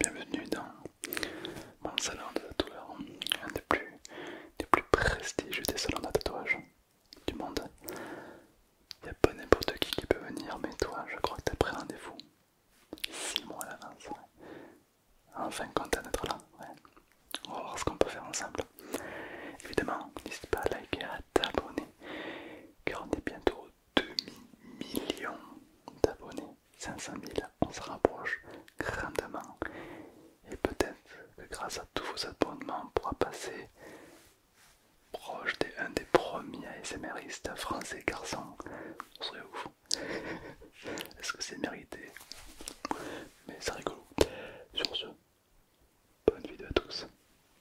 Bienvenue dans mon salon de tatouage, un des plus, prestigieux des salons de tatouage du monde. Il n'y a pas n'importe qui qui peut venir, mais toi, je crois que as pris rendez-vous 6 mois à l'avance. Enfin, content d'être là. On va voir ce qu'on peut faire ensemble. Évidemment, n'hésite pas à liker, à t'abonner, car on est bientôt demi millions d'abonnés, 500 000, on se rapproche grandement. Et peut-être que grâce à tous vos abonnements, on pourra passer proche des des premiers ASMRistes français garçons. On serait ouf. Est-ce que c'est mérité Mais c'est rigolo. Sur ce, bonne vidéo à tous,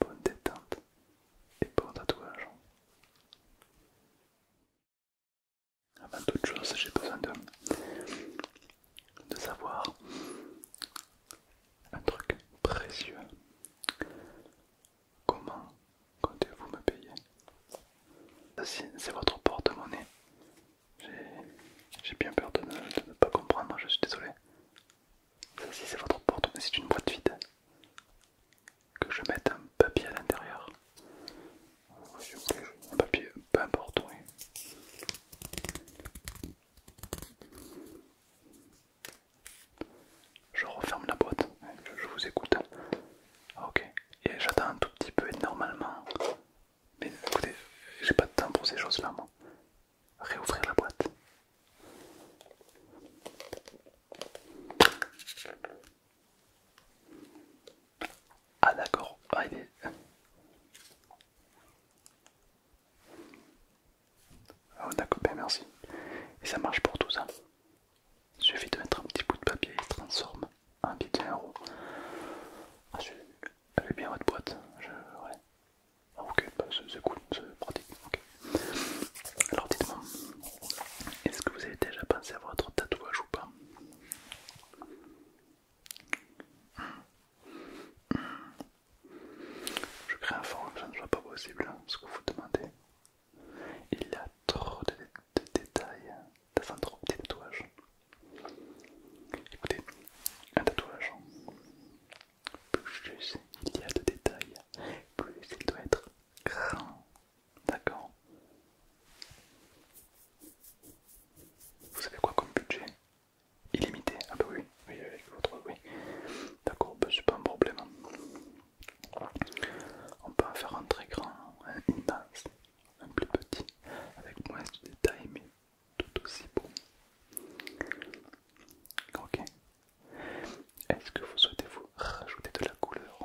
bonne détente et bon tatouage. Avant toute chose, j'ai besoin de, savoir un truc précieux. Comment comptez-vous me payer C'est votre porte-monnaie. J'ai bien peur de ne, pas comprendre, je suis désolé. c'est votre porte-monnaie, c'est une boîte vide que je mette un papier à l'intérieur. Un papier, peu importe, Je referme la boîte, je vous écoute. Ah, ok, et j'attends un tout petit peu et normalement. Mais écoutez, j'ai pas de temps pour ces choses-là, moi. Réouvrir la boîte. Ah d'accord, ah, ah on a merci. Et ça marche pour tout ça. Il suffit de mettre un petit bout de papier et il transforme en billet de 1 euro. Ah, elle est bien votre boîte. Ouais. Ah, ok, bah, c'est cool, c'est pratique. Alors dites-moi, est-ce que vous avez déjà pensé à votre tatouage ou pas Je crée un fond, je ne soit pas possible hein, ce que vous demandez. Il y a trop de, détails dans un trop petit tatouage. Écoutez, un tatouage, plus il y a de détails, plus il doit être grand, D'accord. Vous savez quoi comme budget Illimité Ah bah oui, oui avec oui. D'accord, bah, c'est pas un problème. On peut en faire un très grand, un un plus petit, avec moins de détails mais tout aussi beau. Ok, est-ce que vous souhaitez vous rajouter de la couleur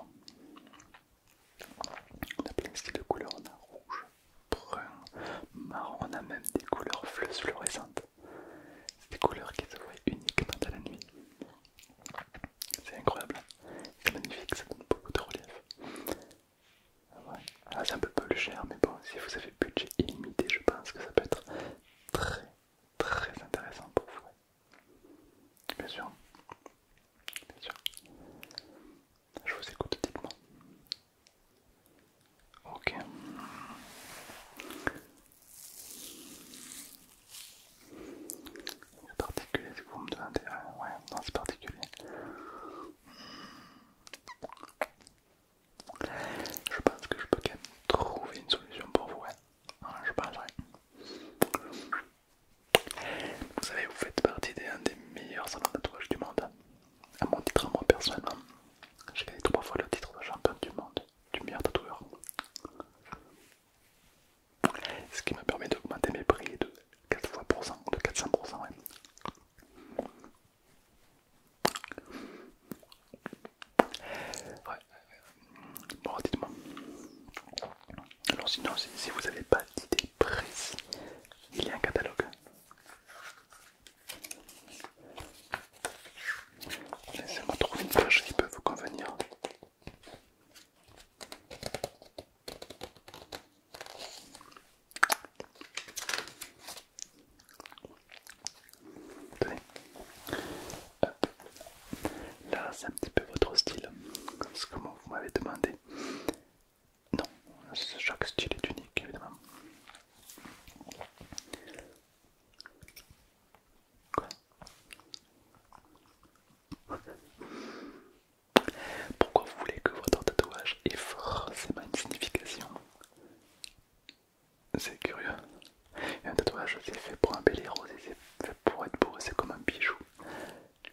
On a plein de styles de couleurs, on a rouge, brun, marron, on a même des couleurs fluorescentes. C'est des couleurs qui se voient uniquement à la nuit. C'est incroyable, c'est magnifique, ça donne beaucoup de relief. Ah, c'est un peu, peu cher, mais bon, si vous avez budget illimité, je pense que ça peut être très très intéressant pour vous. Bien sûr. Bien sûr. Je vous écoute, dites-moi. Ok. C'est particulier si vous me demandez. Euh, ouais, non, c'est particulier. Je pense que je peux quand même trouver une solution pour vous je Vous savez, vous faites partie des, des meilleurs salons de tatouage du monde. À mon titre, à moi personnellement, j'ai gagné trois fois le titre de champion du monde, du meilleur tatoueur. Ce qui me permet d'augmenter mes prix de 4 fois pour cent, de 400%. Ouais. Bon, dites-moi. Alors sinon, si, vous n'avez pas d'idée précise, il y a un catalogue. Laissez-moi trouver une page qui peut vous convenir. Tenez. Là, c'est un petit peu votre style, ce que vous m'avez demandé. Non, chaque style est unique, évidemment. Pourquoi vous voulez que votre tatouage ait forcément une signification c'est curieux. un tatouage, c'est fait pour un embellir, c'est fait pour être beau, c'est comme un bijou.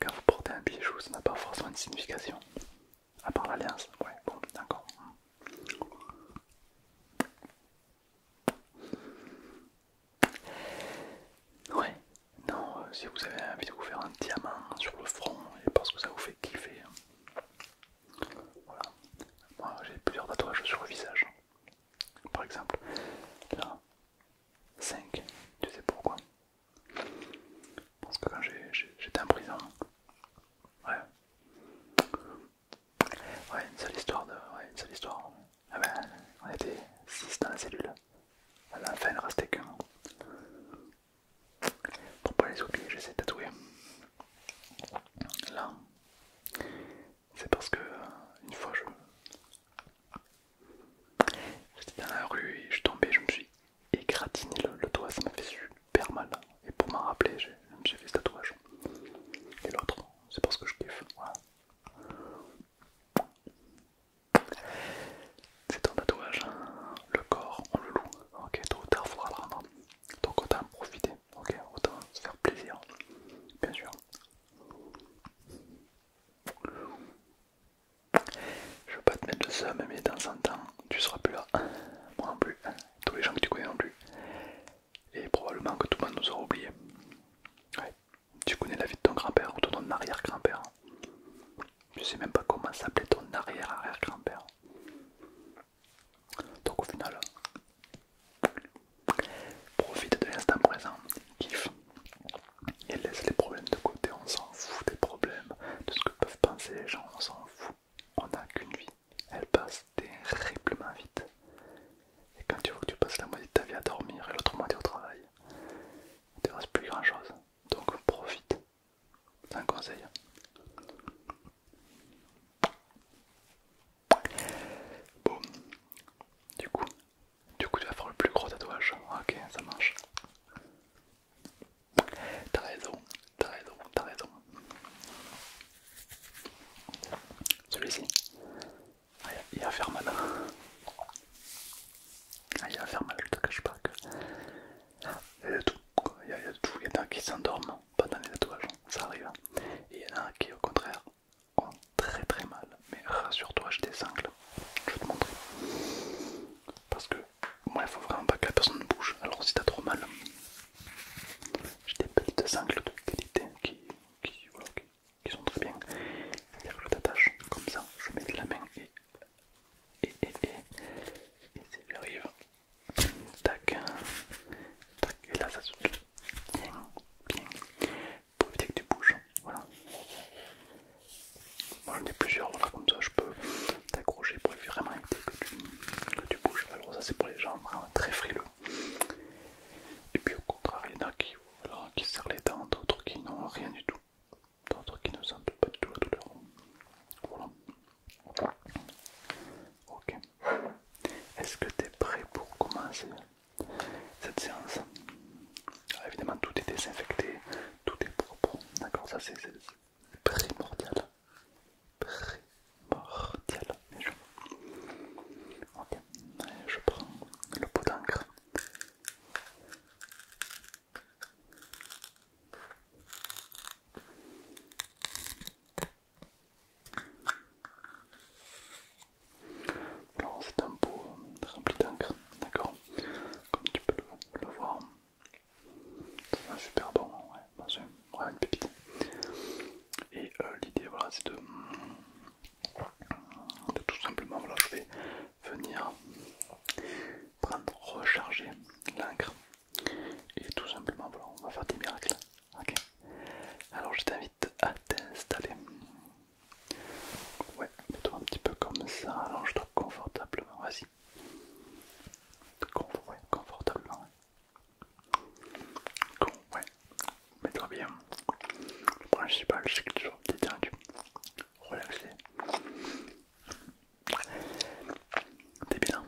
Quand vous portez un bijou, ça n'a pas forcément de signification. À part l'alliance, ouais, bon, d'accord. Ouais, non, euh, si vous avez envie de vous faire un diamant sur le front et parce que ça vous fait kiffer. Hein. Voilà, moi j'ai plusieurs tatouages sur le visage. Par exemple, là, 5, tu sais pourquoi Parce que quand j'étais en prison, ouais, ouais, une seule histoire de. Ouais, une seule Ah ben, on était 6 dans la cellule. À la fin, il ne restait qu'un. Pour pas les oublier, j'essaie de tatouer. Là, c'est parce que euh, une fois je. J'étais dans la rue et je suis tombé, je me suis égratigné le, doigt, ça m'a fait super mal. Et pour m'en rappeler, j'ai fait ce tatouage. Et l'autre, c'est parce que je kiffe. C'est ton tatouage, hein. le corps, on le loue. Ok, tôt tard, Donc autant profiter ok, autant se faire plaisir, bien sûr. Je veux pas te mettre seul ça, mais dans un temps, tu seras plus là, moi non plus, tous les gens que tu connais non plus, et probablement que tout le monde nous aura oubliés. Ouais, tu connais la vie de ton grand-père ou de ton arrière-grand-père. Je sais même pas comment s'appelait ton arrière-arrière-grand-père. Donc au final, Profite de l'instant présent, kiffe et laisse les problèmes de côté. On s'en fout des problèmes, de ce que peuvent penser les gens, on s'en fout. On n'a qu'une vie, elle passe terriblement vite. Et quand tu vois que tu passes la moitié de ta vie à dormir et l'autre moitié au travail, il ne te reste plus grand chose. Donc profite. C'est un conseil. Bon, du coup, du coup, tu vas faire le plus gros tatouage. Ah, ok, ça marche. T'as raison, t'as raison, t'as raison. Celui-ci, il va faire mal. il va faire mal, je te cache pas que. Il y a ah, tout, il y a tout, il y en a qui s'endorment, pas dans les tatouages, ça arrive. Hein. Et il y en a qui, au contraire, ont très très mal. Mais rassure-toi, j'ai des sangles je vais te montrer. Parce que moi, il faut vraiment pas que la personne bouge. Alors, si t'as trop mal, j'ai des petites sangles de qualité qui, qui, qui, sont très bien. C'est-à-dire que je t'attache comme ça, je mets de la main et. Et, et, et, et Tac. Tac. Et là, ça se bien, bien. Pour éviter que tu bouges. Voilà. Moi, j'en ai plusieurs. Voilà, comme ça, je peux t'accrocher pour vraiment éviter que tu, que bouges. Alors, ça, c'est pour les gens vraiment très frileux. Et puis, au contraire, il y en a qui, voilà, qui serrent les dents, d'autres qui n'ont rien du tout, d'autres qui ne sentent pas du tout la douleur. Voilà. Ok. Est-ce que tu es prêt pour commencer cette séance Évidemment, tout est désinfecté, tout est propre. D'accord, ça c'est primordial. Primordial, Ok, je prends le pot d'encre. Alors c'est un pot rempli d'encre, d'accord Comme tu peux le, voir, c'est super bon, ouais, c'est vraiment une pépite. Et euh, l'idée voilà c'est de, tout simplement, voilà je vais venir prendre, recharger l'encre et tout simplement voilà on va faire des miracles Ok. Alors je t'invite à t'installer. Ouais, mets-toi un petit peu comme ça, alors allonge trouve confortablement, vas-y. confortablement. ouais. Mets-toi bien. Le principal, c'est que tu sois détendu, relaxé. T'es bien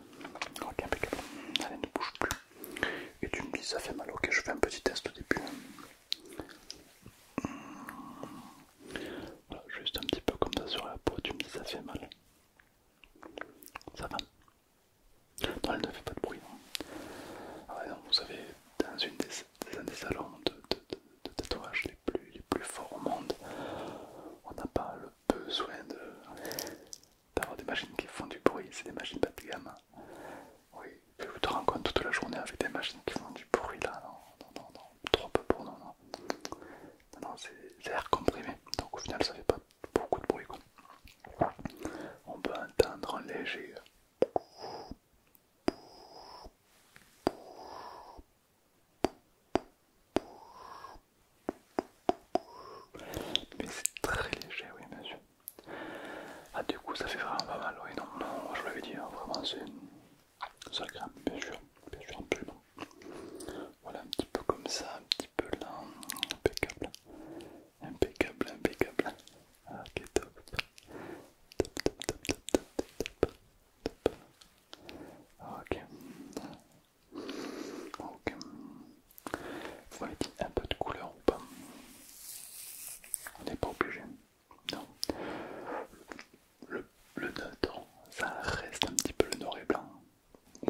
Ok, impeccable. Allez, ne bouge plus. Et tu me dis ça fait mal, ok je fais un petit test au début. juste un petit peu comme ça sur la peau, tu me dis ça fait mal. Ça va Non, elle ne fait pas de bruit. Hein. vous savez, dans une des, des salons de, tatouage les plus, les plus forts au monde, on n'a pas le besoin de, d'avoir des machines qui font du bruit, c'est des machines pas de gamme. Oui, vous te rends compte toute la journée avec des machines qui font du bruit là, non, non, non, non. trop peu pour non, non. Non, c'est l'air comprimé, donc au final ça fait pas beaucoup de bruit quoi. On peut entendre un léger. Mais c'est très léger, oui, bien sûr. Ah, du coup, ça fait vraiment pas mal, oui, non, non, je l'avais dit, hein, vraiment, c'est ça grimpe, bien sûr, bien sûr, plus. Voilà, un petit peu comme ça, un petit peu lent. impeccable, impeccable, impeccable. ok, top, top, top, top, top, top, top. Ok, Ok. Vous m'avez dit un peu de couleur ou pas On n'est pas obligé. Non. Le, le neutre, ça reste un petit peu le noir et blanc.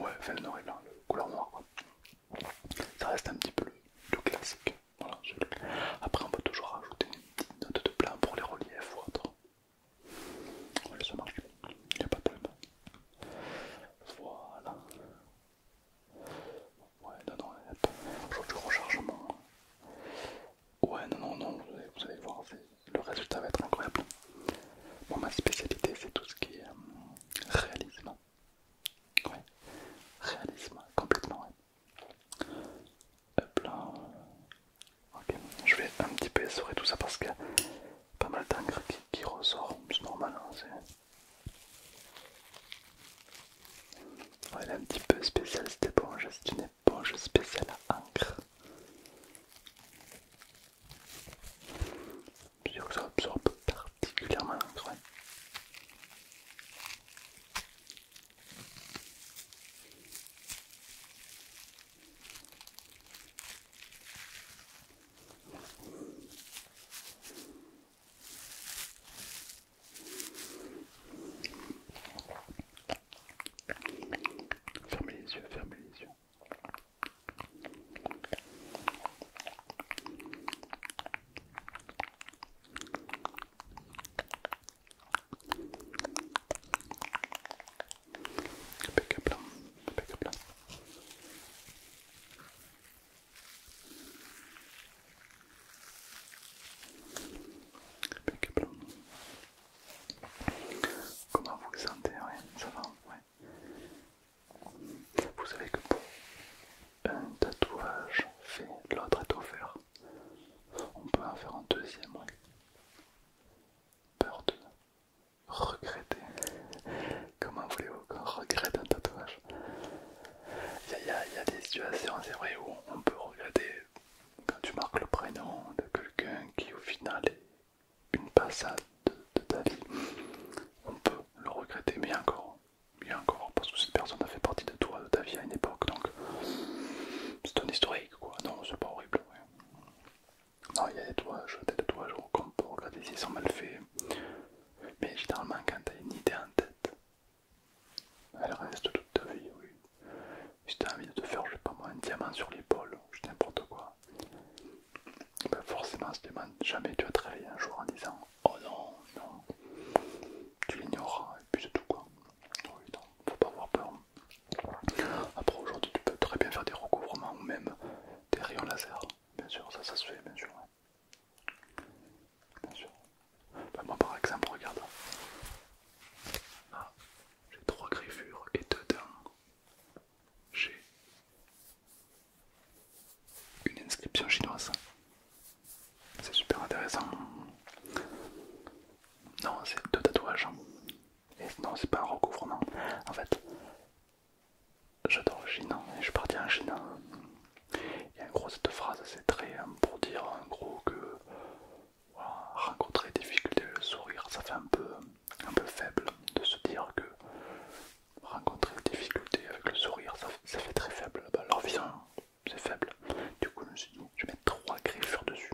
Ouais, enfin le noir et blanc, le couleur noire quoi. Ça reste un petit peu le, classique. Voilà, Après on peut toujours rajouter une petite note de blanc pour les reliefs ou autre. Ouais, ça marche, il n'y a pas de problème. Voilà. Ouais, non, non, attends, du rechargement. Ouais, non, non, non, vous allez, voir, le résultat va être incroyable. Bon, ma spécialité, c'est tout ce qui est euh, réalisme. Ouais, réalisme, complètement, Hop là. Ok, je vais un petit peu essorer tout ça parce que pas mal d'encre qui, ressort, c'est normal. Hein, elle est un petit peu spéciale cette éponge, c'est une éponge spéciale à encre. Je que ça absorbe particulièrement l'encre. Fermez les yeux, fermez les yeux. Comment vous vous sentez ça va Vous savez que pour un tatouage fait, l'autre est offert. On peut en faire un deuxième, Peur de regretter. Comment voulez-vous qu'on regrette un tatouage Il y, a des situations, c'est vrai, où on peut regretter quand tu marques le prénom de quelqu'un qui au final est une passade de, ta vie. On peut le regretter, mais encore, mais encore, parce que cette personne a fait partie de toi, de ta vie à une époque, donc c'est un historique, quoi. Non, c'est pas horrible. Non, il y a des tatouages, des toits je peut regarder s'ils sont mal faits. Mais généralement, quand t'as une idée en tête, elle reste toute ta vie, oui. Si t'as envie de te faire, je sais pas moi, un diamant sur l'épaule, je n'importe quoi. Ben forcément, ce jamais tu vas travailler un jour en disant Oh non, non. Tu l'ignoreras, et puis c'est tout quoi. Oui, non, faut pas avoir peur. Après, aujourd'hui, tu peux très bien faire des recouvrements ou même des rayons laser, bien sûr, ça, ça se fait, bien sûr. Bah, moi, par exemple, regarde. Ah, j'ai trois griffures et dedans, j'ai une inscription chinoise. C'est super intéressant. Non, c'est deux tatouages. Et non, c'est pas un recouvrement. En fait, J'adore le hein, et je suis parti en Ginan Et en gros, cette phrase, c'est très hein, pour dire en gros que rencontrer des difficultés, le sourire, ça fait un peu, un peu faible de se dire que rencontrer des difficultés avec le sourire, ça, fait très faible. Bah, leur vision, c'est faible. Du coup, je me dit, je vais mettre trois griffures dessus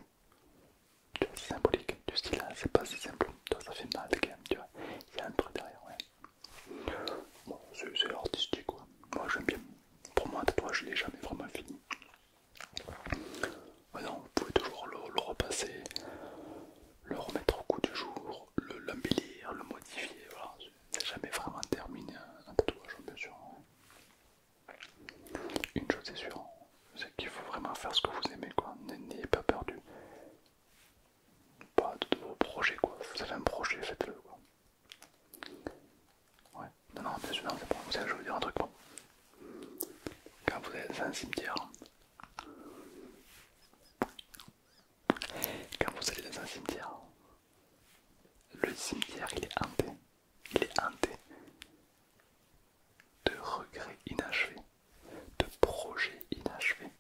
tu vois, c'est symbolique, du style, hein, c'est pas si simple, ça fait mal quand même, tu vois, il y a un truc derrière, Bon, c'est artistique, moi j'aime bien. Pour moi, un tatouage, je l'ai jamais vraiment fini. Ah vous pouvez toujours le, repasser, le remettre au coup du jour, le le, le modifier, voilà, c'est jamais vraiment terminé un tatouage, bien sûr. Hein. Une chose c'est sûr c'est qu'il faut vraiment faire ce que vous aimez quoi, n'ayez pas perdu pas de, vos projets quoi, vous avez un projet, faites-le quoi. Ouais, non non bien bon. je vais vous dire un truc Quand vous allez dans un cimetière, quand vous allez dans un cimetière, le cimetière il est hanté, il est hanté de regrets inachevés, de projets inachevés.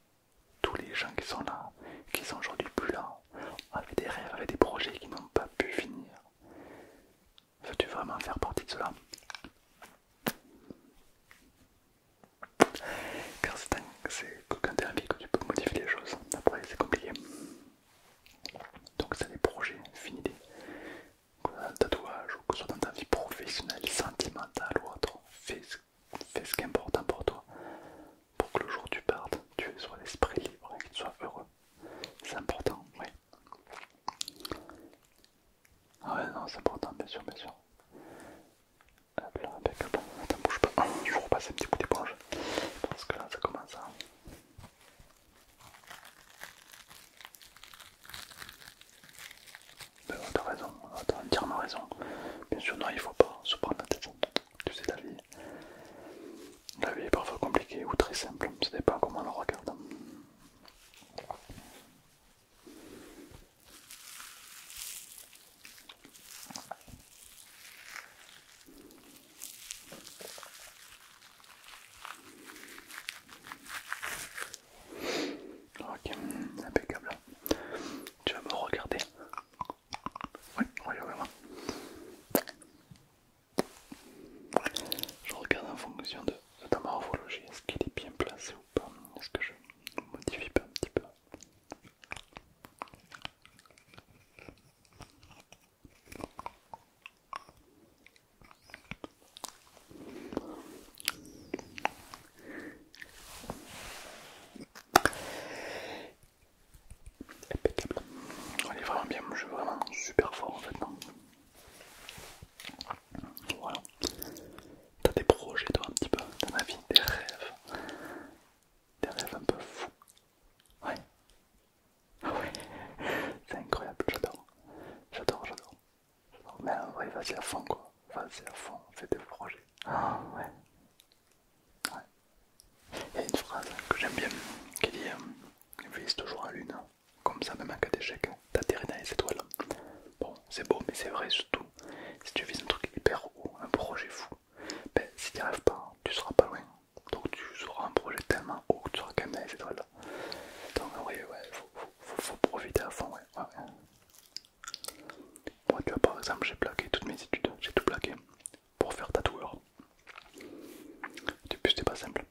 Tous les gens qui sont là, qui sont aujourd'hui plus là, avec des rêves, avaient des projets qui n'ont pas pu finir. Veux-tu vraiment faire partie de cela Car c'est quand tu as envie que tu peux modifier les choses. Après, c'est compliqué. Donc, c'est des projets, finis que dans un tatouage ou que ce soit dans ta vie professionnelle, sentimentale ou autre, fais, ce qui est important pour toi pour que le jour où tu partes, tu sois l'esprit libre et que tu sois heureux. C'est important, oui. Ah ouais, non, c'est important, bien sûr, bien sûr. Hop là, bon, Attends, bouge pas. Je vous repasse un petit bout d'éponge. Parce que là, ça commence à... Ben, t'as raison, t'as entièrement raison. Bien sûr, non, il faut pas se prendre la tête. Tu sais, la vie, la vie est parfois compliquée ou très simple, ça dépend comment on le regarde. Ok, impeccable. Tu vas me regarder. Oui, oui, moi Je regarde en fonction de, ta morphologie, est-ce qu'il est bien placé ou pas Est-ce que je modifie pas un petit peu Impeccable. il est vraiment bien, je vraiment super fort en fait. Non T'as des projets toi un petit peu dans ma vie, des rêves. Des rêves un peu fous. Ouais. Ah ouais. C'est incroyable, j'adore. J'adore, j'adore mais ben, ouais, vas-y à fond quoi. Vas-y à fond, fais des projets. Ah ouais. Il y a une phrase que j'aime bien qui dit euh, Vise toujours à lune, comme ça même en cas d'échec, t'atterris dans les étoiles. Bon, c'est beau, mais c'est vrai surtout. Si tu vises un truc hyper haut, un projet fou, ben si t'y arrives pas, tu seras pas loin. Donc tu auras un projet tellement haut que tu seras quand même dans les étoiles. Donc, oui, ouais, faut, profiter à fond, ouais. Moi, tu vois, par exemple, j'ai plaqué toutes mes études, j'ai tout plaqué pour faire tatoueur. Depuis, c'était pas simple.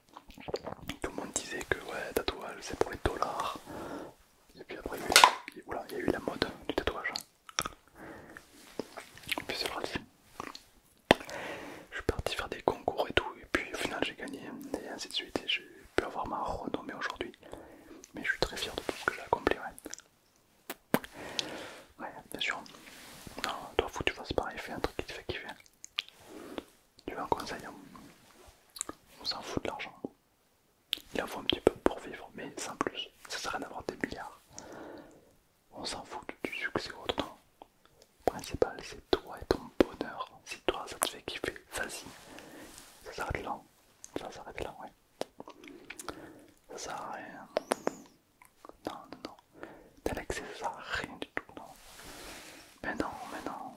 Tout le monde disait que, ouais, tatouage, c'est pour les dollars. Et puis après, il y, a eu, la mode du tatouage. Et puis c'est parti. je suis parti faire des concours et tout, et puis au final j'ai gagné, et ainsi de suite pu avoir ma renommée aujourd'hui. Mais je suis très fier de tout ce que j'ai accompli. Ouais. bien sûr. Non, toi, tu tu vois, c'est pareil, fais un truc qui te fait kiffer. Tu veux un conseil hein On s'en fout de l'argent. Il en faut un petit peu pour vivre, mais sans plus. Ça sert à rien d'avoir des milliards. On s'en fout du succès autant. Le principal, c'est toi et ton bonheur. Si toi, ça te fait kiffer, vas-y. Ça s'arrête là. Ça s'arrête là, ouais. Ça sert à rien. Non, non, non. T'as l'excès, ça sert à rien du tout, non. Mais non, mais non.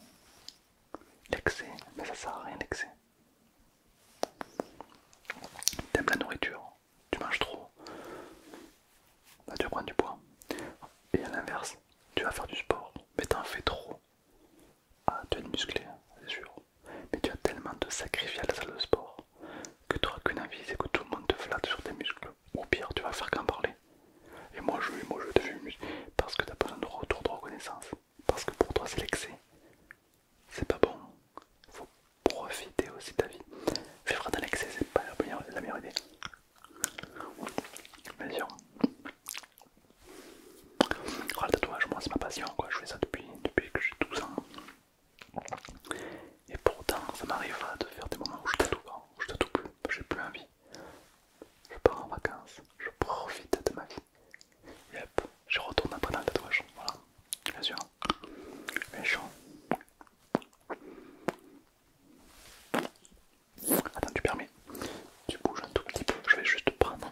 L'excès, mais ça sert à rien l'excès. T'aimes la nourriture, tu manges trop, là bah, tu prendre du poids. Et à l'inverse, tu vas faire du sport, mais t'en fais trop. Ah, tu es musclé, hein, c'est sûr, mais tu as tellement de sacrifiés à la salle de sport que tu n'auras qu'une envie, c'est que tout le monde te flatte sur tes muscles. Ou pire, tu vas faire qu'en parler. Et moi je, lui, moi je te fais parce que t'as besoin de retour de reconnaissance. Parce que pour toi c'est l'excès. C'est pas bon. Faut profiter aussi de ta vie. Faire dans l'excès, c'est pas la meilleure idée. Bien sûr. Oh, le tatouage, moi c'est ma passion, je fais ça depuis, que j'ai 12 ans. Et pourtant, ça m'arrive de faire des moments où je tatoue je tatoue plus, j'ai plus envie. Je pars en vacances, je profite de ma vie. Et hop, je retourne après dans le tatouage. Voilà, bien sûr. Méchant. Attends, tu permets, tu bouges un tout petit peu, je vais juste prendre.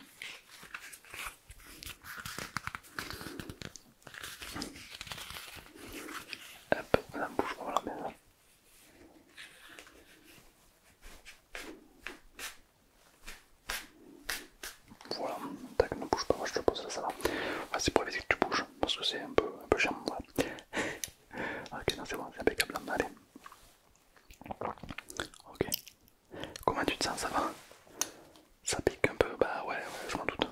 Hop, la bouge, voilà, Voilà, tac, ne bouge pas, je te pose là, ça va. Ah, c'est pour éviter que tu bouges, parce que c'est un peu, chiant, voilà. ok, non, c'est bon, c'est impeccable, allez. Ok. Comment tu te sens, ça va Ça pique un peu Bah ouais, je m'en doute.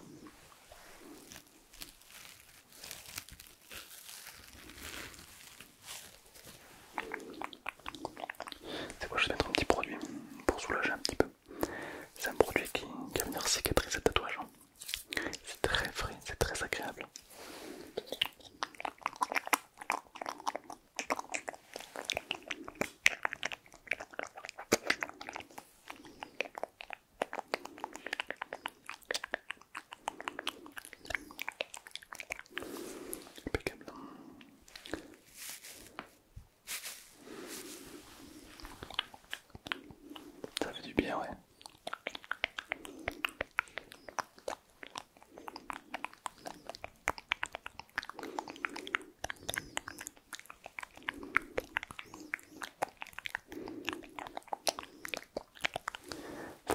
C'est quoi, je vais mettre un petit produit pour soulager un petit peu. C'est un produit qui, va venir cicatriser le tatouage. Hein. C'est très frais, c'est très agréable. Impeccable. Ça fait du bien, ouais.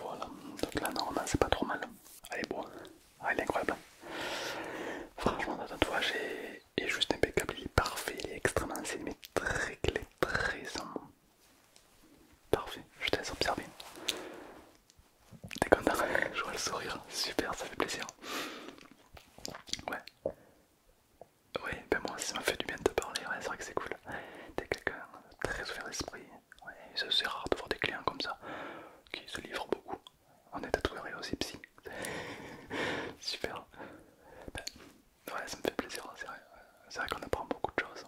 Voilà, donc là normalement c'est pas trop mal. Elle est allez hein. ah, est incroyable. Franchement, notre tatouage est, est juste impeccable, il est parfait, il est extrêmement ancien, mais très clé, très simple. Parfait, je t'ai observé, T'es content Je vois le sourire, super, ça fait plaisir. Ouais. Ouais, ben moi ça m'a fait du bien de te parler, c'est vrai que c'est cool. T'es quelqu'un très ouvert d'esprit, ouais, c'est rare de voir des clients comme ça, qui se livrent beaucoup. On est à aussi psy. super. Ben, Ouais, ça me fait plaisir, hein, c'est vrai. C'est vrai qu'on apprend beaucoup de choses.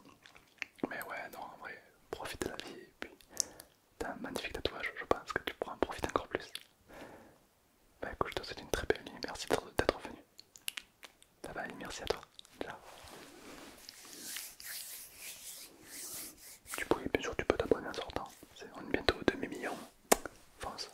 Mais ouais, non, en vrai, profite de la vie. Et puis, t'as un magnifique tatouage, je pense que tu pourras en profiter encore plus. Bah écoute, je te souhaite une très belle nuit. Merci d'être venu. Bye aller, merci à toi. Ciao. Tu peux, bien sûr, tu peux t'abonner en sortant. c'est on est bientôt au demi-million. Fonce.